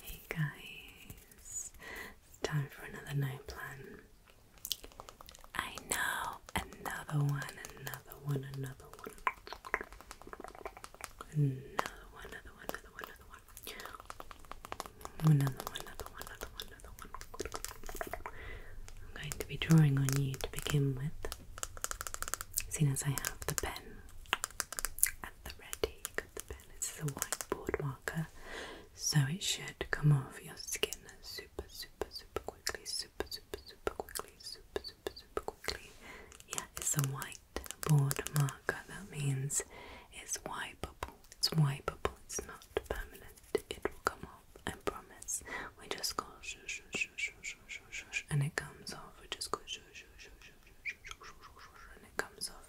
Hey guys, it's time for another night plan. I know another one, another one, another one, another one, another one, another one, another one, another one, another one, I'm going to be drawing on you to begin with, seeing as I have the pen at the ready at the pen. This is a whiteboard marker, so it should come off your skin super, super, super quickly. Super, super, super quickly. Super, super, super quickly. Yeah, it's a whiteboard marker. That means it's wipeable. It's wipeable. It's not permanent. It will come off. I promise. We just go shush, shush, shush, shush, shush, shush, and it comes off. We just go shush, shush, shush, shush, shush, shush, shush, shush, and it comes off.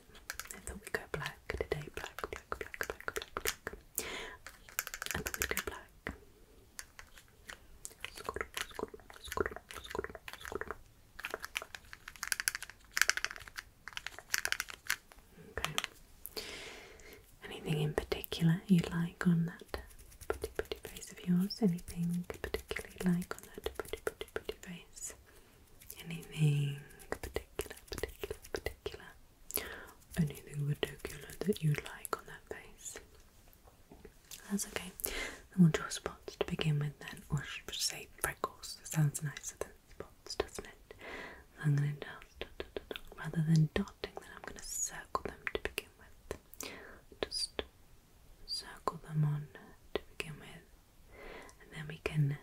I thought we'd go black today. Black, black, black, black, black, I thought we'd go black. Okay. Anything in particular you like on that pretty pretty face of yours? Anything particularly like on that pretty pretty pretty face? Anything particular, particular, particular? Anything particular that you like on that face? That's okay. Then we'll draw spots to begin with then, or should say freckles? sounds nicer than spots, doesn't it? I'm going to rather than dotting them, I'm going to circle them to begin with. Just circle them on to begin with and then we can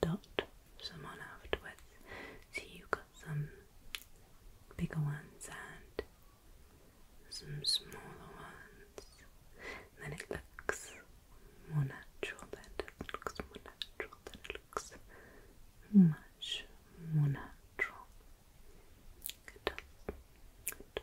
dot some on afterwards. So you got some bigger ones and some smaller ones. then it looks more natural, then it looks more natural, then it looks much more natural. Good. Good.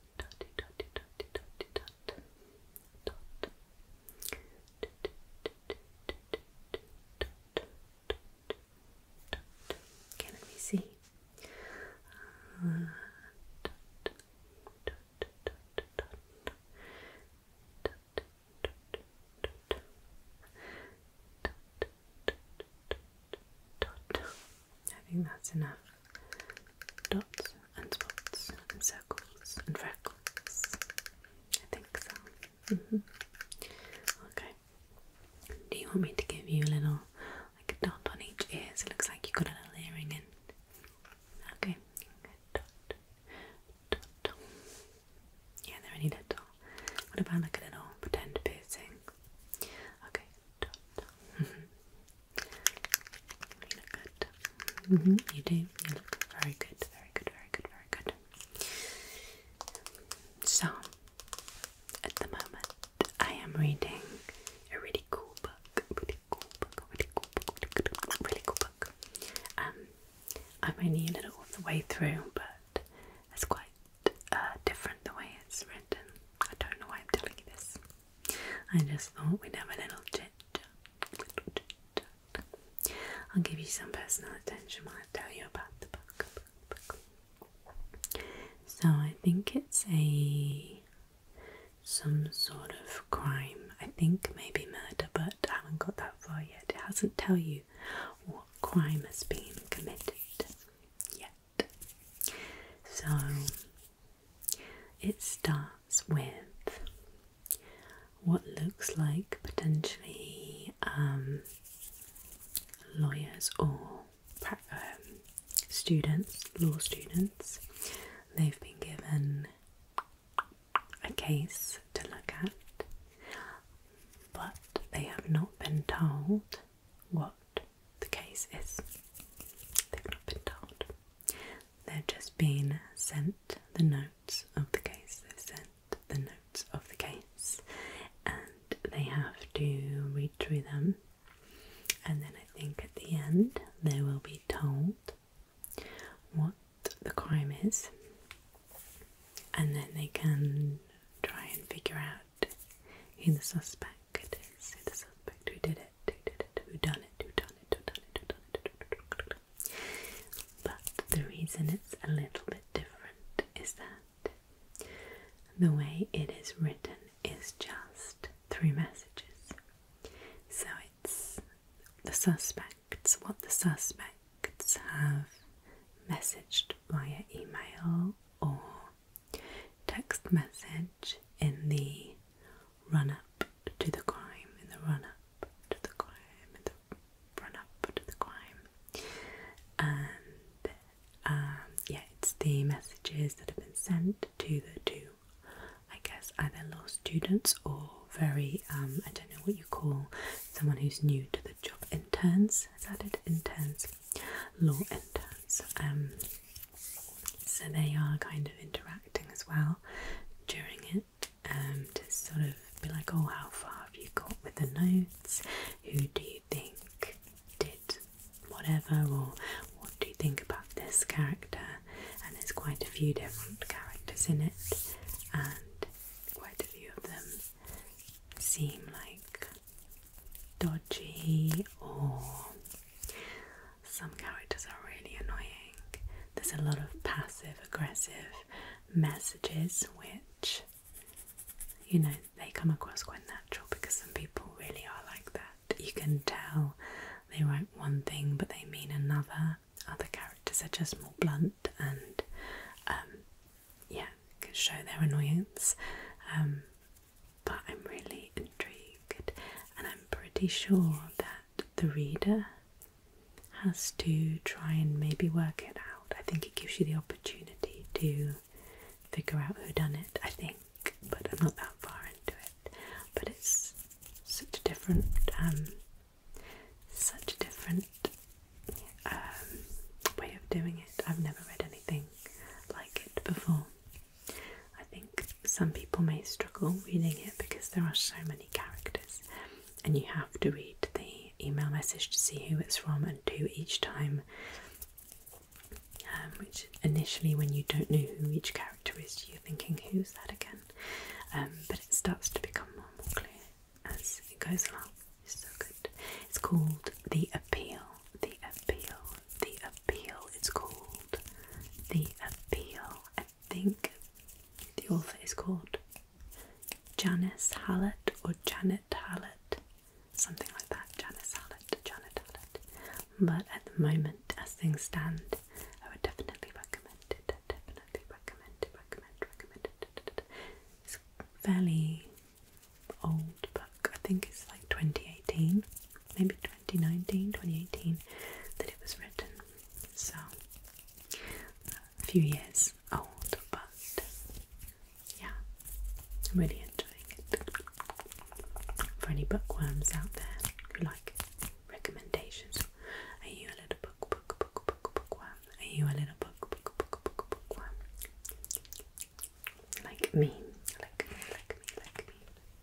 can we see? I think that's enough dots and spots and circles and freckles. I think so. Mm -hmm. Okay. Do you want me to give you a little, like a dot on each ear so it looks like you got a little earring in? Okay. Dot. Dot. Yeah, they're only little. What about like a little pretend piercing? Okay. Dot. Mm-hmm. You look good. Mm-hmm. You do. You look very good. Very good. Very good. Very good. So, at the moment, I am reading a really cool book. Really cool book. Really cool book. Really cool book. Um, I'm only a little of the way through, but it's quite uh, different the way it's written. I don't know why I'm telling you this. I just thought we'd have a little chat. I'll give you some personal attention while I tell you about the book. book. So I think it's a some sort of crime. I think maybe murder, but I haven't got that far yet. It hasn't tell you what crime has been committed yet. So it starts with what looks like potentially um, lawyers or um, students, law students. They've been given a case to look at, but they have not been told what the case is. They've not been told they have just been sent the notes of the case. they have sent the notes of the case and they have to read through them. And then I think at the end they will be told what the crime is, and then they can try and figure out who the suspect is, who the suspect who did it, who done it, who done it, who done it, who done it. But the reason it's a little bit different is that the way it is written is just through messages. So it's the suspects, what the suspects have messaged via email or text message in the run up to the crime, in the run up to the crime, in the run up to the crime. And um, yeah, it's the messages that have been sent to the two, I guess, either law students or very, um, I don't know what you call someone who's new to the job interns. Is that it? Interns, law interns. Um, so they are kind of interacting as well during it um, to sort of be like, oh, how far have you got with the notes? Who do you think did whatever? Or what do you think about this character? And there's quite a few different characters in it, and quite a few of them seem like dodgy or some characters are really annoying. There's a lot of passive aggressive messages, which, you know, they come across quite natural because some people really are like that. You can tell they write one thing but they mean another. Other characters are just more blunt and, um, yeah, can show their annoyance. Um, but I'm really intrigued, and I'm pretty sure that the reader has to try and maybe work it out. I think it gives you the opportunity to figure out who done it, I think, but I'm not that far into it. But it's such a different, um, such a different um, way of doing it. I've never read anything like it before. I think some people may struggle reading it because there are so many characters, and you have to read the email message to see who it's from and do each time. Um, which initially, when you don't know who each character is, you're thinking, "Who's that again?" Um, but it starts to become more and more clear as it goes along. It's so good. It's called the appeal. The appeal. The appeal. It's called. The Appeal. I think the author is called Janice Hallett or Janet Hallett, something like that. Janice Hallett, Janet Hallett. But at the moment, as things stand, I would definitely recommend it. Definitely recommend it. Recommend. Recommend it. It's fairly old book. I think it's like 2018, maybe 2019, 2018 that it was written. So, a few years old, but yeah, I'm really enjoying it. For any bookworms out there who like recommendations, are you a little book, book, book, book, bookworm? Are you a little book, book, book, book, bookworm? Like me, like me, like me, like me.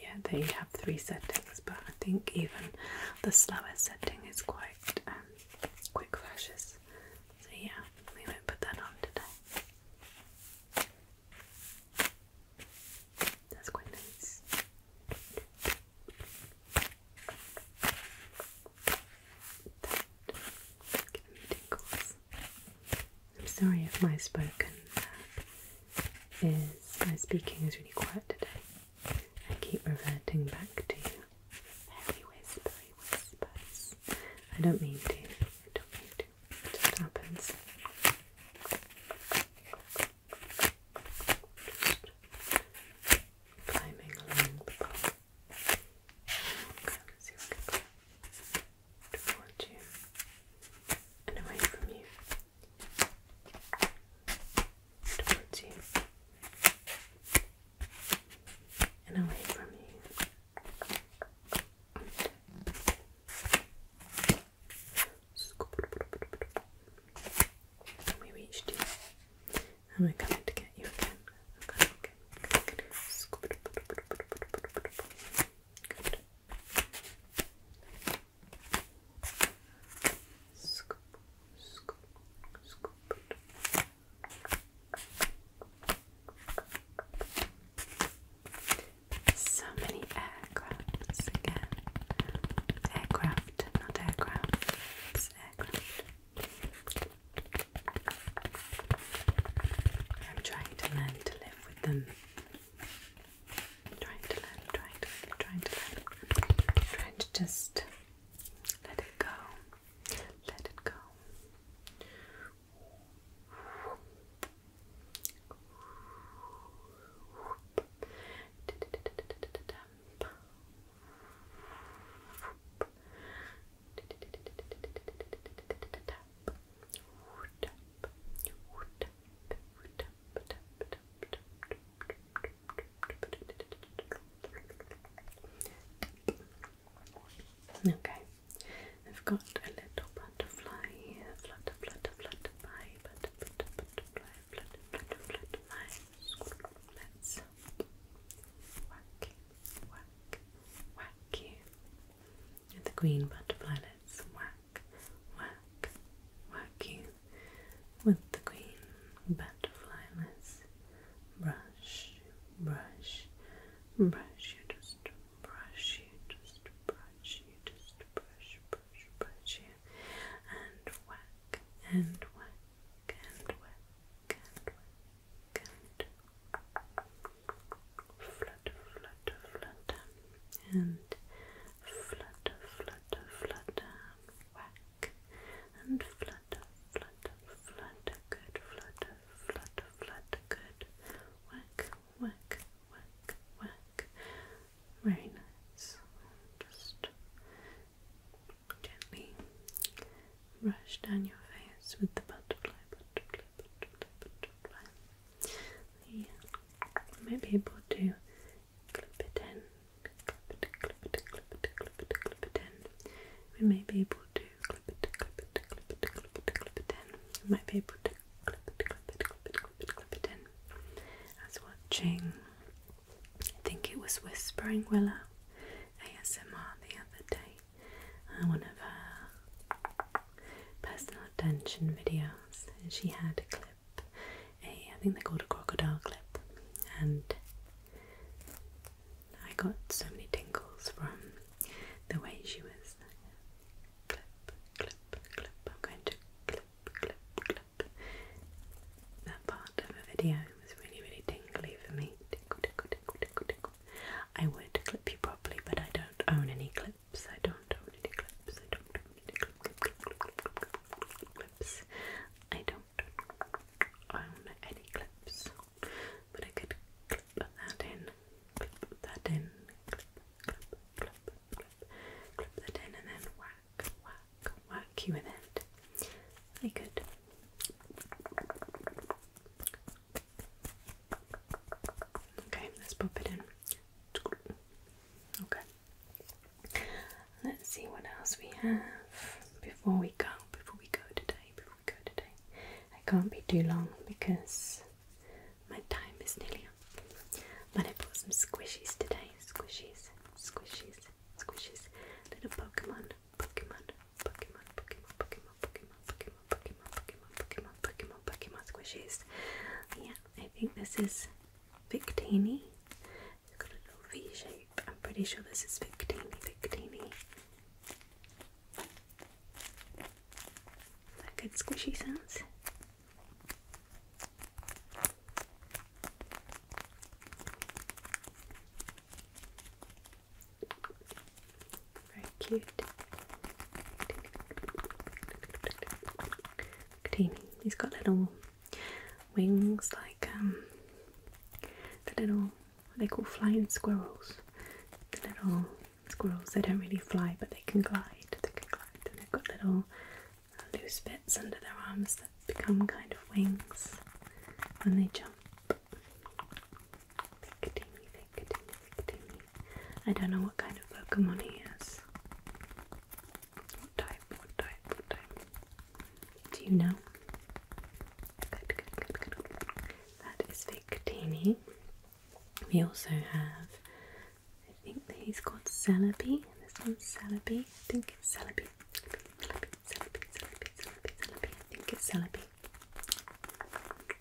yeah, they have three settings, but I think even the slower setting is quite um, quick flashes. So yeah, we won't put that on today. That's quite nice. That giving me tingles. I'm sorry if my spoken is my speaking is really quiet today. I keep reverting back to very whispery whispers. I don't mean to. I don't mean to. It just happens. climbing along the pole. let's see what towards you and away from you, towards you and away from you. we reached you. And we're coming to get you again. So many aircrafts again. Aircraft, not aircraft. I'm trying to learn to live with them I'm trying to learn, trying to learn, trying to learn. trying to just let it go. Let it go. Okay, I've got a little butterfly here. Flutter, flutter, butterfly, butter, butter, butterfly, flutter, flutter, butterfly. Let's whack, whack, whack you and the green butterfly lets whack, whack, whack you with the green butterfly lets brush, brush, brush you, just brush you, just brush you, just brush, brush, brush you, and whack, and whack, and whack, and whack, and whack. And whack flutter, flutter, flutter, and flutter, flutter, flutter, whack, and flutter, flutter, flutter, good, flutter, flutter, flutter, good, whack, whack, whack, whack, very nice, just gently brush down your face with the butterfly, butterfly, butterfly, butterfly we may be able to clip it in, We may be able to clip it, in. We might be able to clip it, in. I was watching, I think it was Whispering Willow ASMR the other day. Uh, one of her personal attention videos, and she had a clip, a I think they called a crocodile clip, and I got so many tingles from the way she was clip, clip, clip. I'm going to clip, clip, clip. That part of a video was really, really tingly for me. Tickle, tickle, tickle, tickle, tickle. I would clip you properly, but I don't own any clip clips. I don't own any clips. I don't own any clip, clip, clip, clip, clip, clip, clip, clip, clips. I don't own any clips, but I could clip that in, clip that in, clip, clip, clip, clip, clip that in, and then whack, whack, whack you with it. I could Okay, let's pop it in. Okay. Let's see what else we have before we go, before we go today, before we go today. I can't be too long because my time is nearly up. But I bought some squishies today. Squishies, squishies, squishies. Little Pokemon, Pokemon, Pokemon, Pokemon, Pokemon, Pokemon, Pokemon. Pokemon, Pokemon, Pokemon, Pokemon, Pokemon, squishies. Yeah, I think this is Victini. It's got a little V shape. I'm pretty sure this is Victini, Victini. that good squishy sounds? Very cute. Kadimi. He's got little wings like um, the little what they call flying squirrels. The little squirrels they don't really fly but they can glide. They can glide and they've got little uh, loose bits under their arms that become kind of wings when they jump. Picatinny, Picatinny, Picatinny. I don't know what kind of Pokemon he is. What type, what type, what type? Do you know? Good, good, good, good. That is Victini. We also have, I think he's called Celebi. This one, Celebi. I think it's Celebi. Celebi, Celebi, Celebi, Celebi, Celebi. Celebi. I think it's Celebi.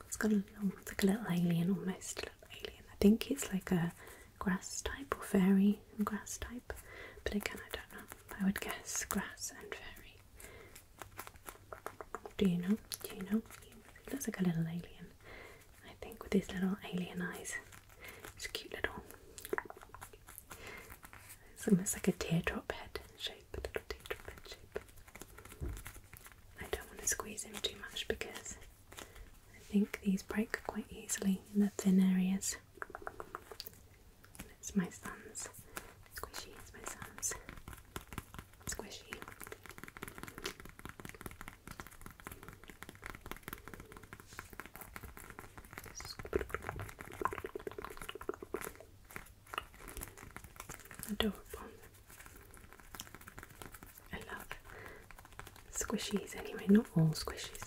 It's got a little, like a little alien, almost a little alien. I think it's like a grass type or fairy and grass type, but again, I don't know. I would guess grass and fairy. Do you know? Do you know? It looks like a little alien. I think with his little alien eyes. It's cute little. It's almost like a teardrop head shape, a little teardrop head shape. I don't want to squeeze him too much because I think these break quite easily in the thin areas. It's my son's. Squishy, it's my son's. Squishy. Adorable. I love squishies anyway, not all squishies,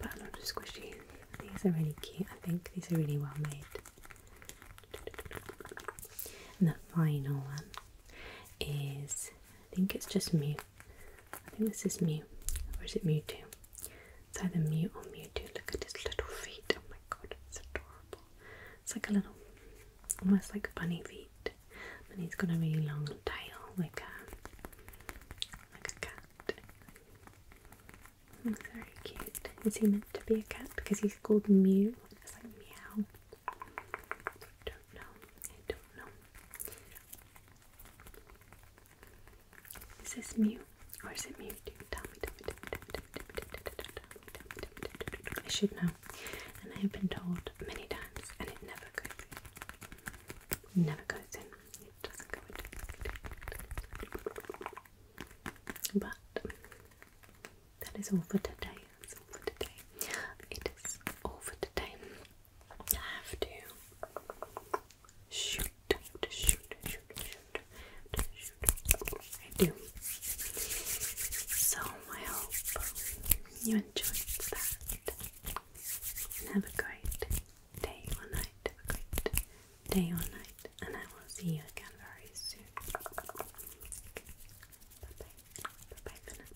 but a lot squishies. These are really cute, I think. These are really well made. And the final one is, I think it's just Mew. I think this is Mew, or is it Mewtwo? It's either Mew or Mewtwo. Look at his little feet. Oh my god, it's adorable. It's like a little, almost like bunny feet, and he's got a really long tail, like a like a cat. He's very cute. Is he meant to be a cat? Because he's called Mew. It's like meow. I don't know. I don't know. Is this Mew or is it Mew? Tell me, tell me, tell me, tell me. I should know. And I have been told many times, and it never goes in. Never goes in. It doesn't go in. But that is all for today. all for today. It is all for today. I have to shoot, shoot, shoot, shoot, shoot, shoot. I do. So I hope you enjoyed that. have a great day or night. Have a great day or night. And I will see you again very soon. Bye bye for now.